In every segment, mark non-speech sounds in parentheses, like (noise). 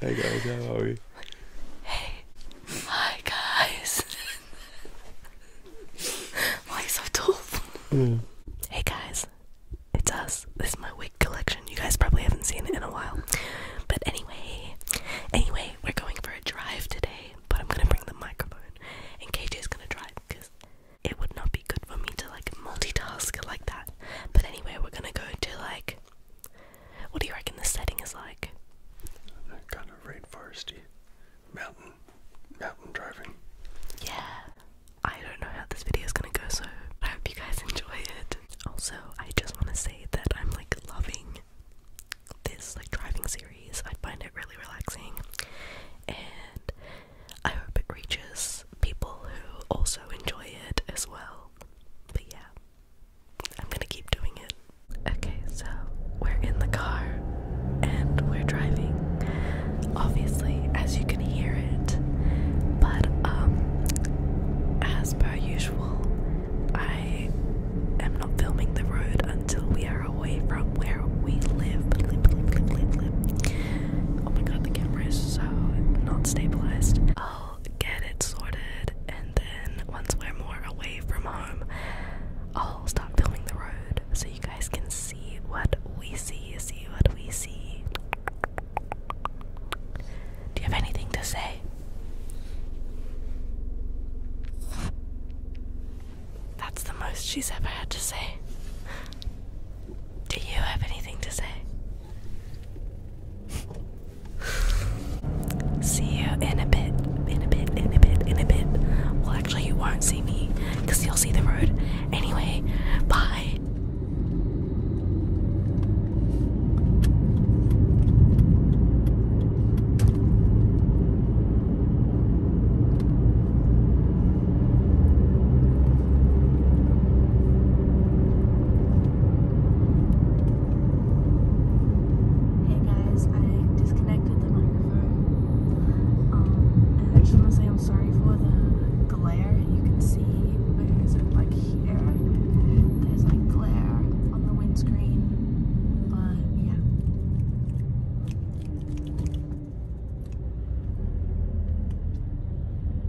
Hey guys, how are we? Hey. Hi guys. (laughs) Why so tall? Hey guys. It's us. This is my wig collection. You guys probably haven't seen it in a while. But anyway, anyway, we're going for a drive today, but I'm gonna bring the microphone and KJ's gonna drive because it would not be good for me to like multitask like that. But anyway, we're gonna go to like what do you reckon the setting is like? kind of rainforesty, mountain, mountain driving. Yeah. I don't know how this video is gonna go, so I hope you guys enjoy it. Also, I just want to say that I'm like loving this like driving series. I find it really relaxing, and I hope it reaches people who also enjoy it as well. But yeah, I'm gonna keep doing it. Okay, so we're in the car and we're driving. Obviously, as you can hear it, but um, as per usual, I am not filming the road until we are away from where we live. Oh my god, the camera is so not stabilized. Oh, get it sorted, and then once we're more away from home, I'll start filming the road so you guys can see what we see. See what we see. Do you have anything to say? That's the most she's ever had to say. Do you have anything to say? see you in a bit, in a bit, in a bit, in a bit. Well, actually, you won't see me because you'll see the road. Anyway, bye. Hey guys, I disconnected the microphone. Um, and I am sorry for the glare. You can see where is like here. There's like glare on the windscreen. But yeah.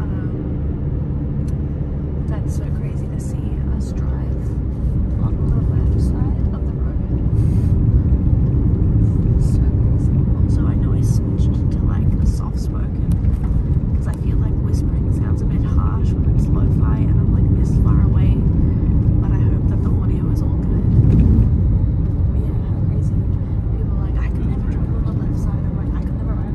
Um, that's so crazy to see us drive on the left side of the road. so I know I switched to like soft spoken because I feel like whispering sounds a bit harsh when it's lo fi and I'm like this far away. But I hope that the audio is all good. Yeah, crazy. People like, I could never drive on the left side. I'm I could never ride,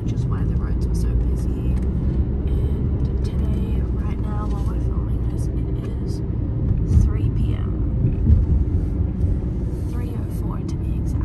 which is why the roads were so busy. And today, right now, while we're filming this, it is 3 p.m. 3.04 to be exact.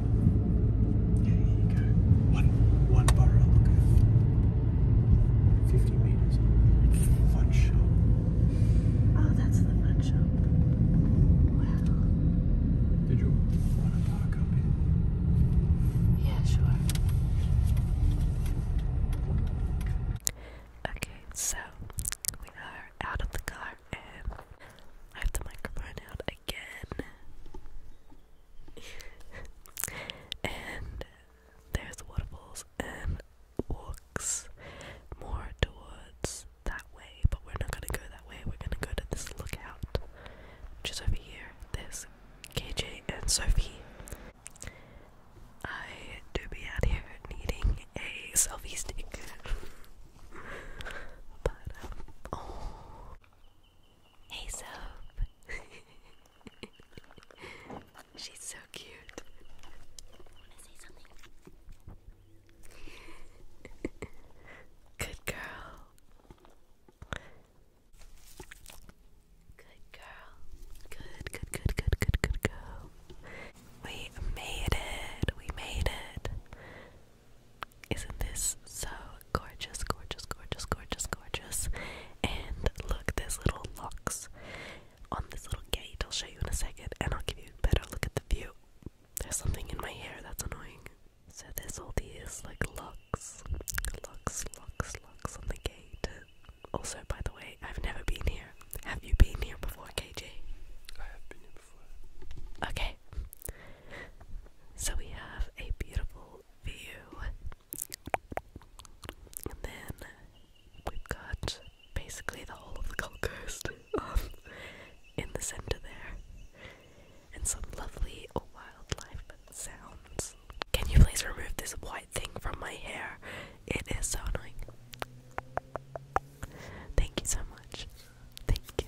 Yeah, here you go. One, one borough, 50 meters. Fun shop. Oh, that's the fun shop. Wow. Did you want to park Yeah, sure. Okay, so we are out of the car and I have the microphone out again. and there's waterfalls and walks more towards that way, but we're not gonna go that way. We're gonna go to this lookout, which is over here. There's KJ and Sophie. I do be out here needing a selfie stick. (laughs) but, um, oh. Hey, Soap. (laughs) She's so cute. Good girl. Good girl. Good, good, good, good, good, good girl. We made it. We made it. Isn't this so gorgeous, gorgeous, gorgeous, gorgeous, gorgeous? And look, there's little locks on this little gate. I'll show you in a second and I'll give you a better look at the view. There's something in my hair that's annoying. So there's all these like locks, locks, locks, locks on the gate. Also, by the way, I've never been here. Have you been here before, KJ? Okay. So we have a beautiful view. then we've got basically the whole of the Gold Coast um, in the center there. And some lovely wildlife sounds. Can you please remove this white thing from my hair? It is so annoying. Thank you so much. Thank you.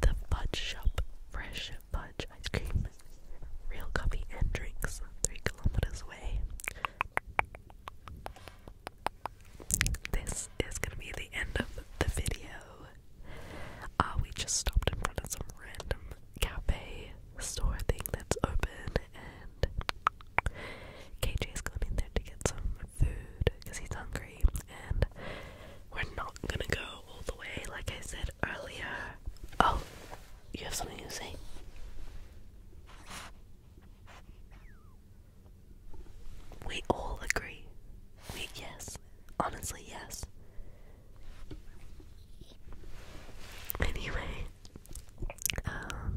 The Fudge Shop Fresh Fudge Ice Cream. Real coffee and drinks, three kilometers away. This is gonna be the end of the video. Ah, we just stopped in front of some random cafe store thing that's open, and KJ's gone in there to get some food because he's hungry, and we're not gonna go all the way, like I said earlier. Oh, you have something to say? We all agree. We, yes. Honestly, yes. Anyway, um,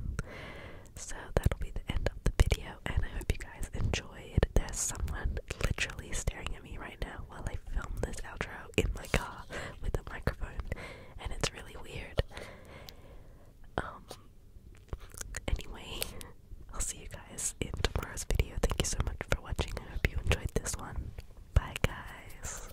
so that'll be the end of the video, and I hope you guys enjoyed. There's someone literally staring at me right now while I film this outro in my car with a microphone, and it's really weird. Um. Anyway, I'll see you guys in tomorrow's video. Thank you so much for watching. I hope you enjoyed this one. Bye, guys.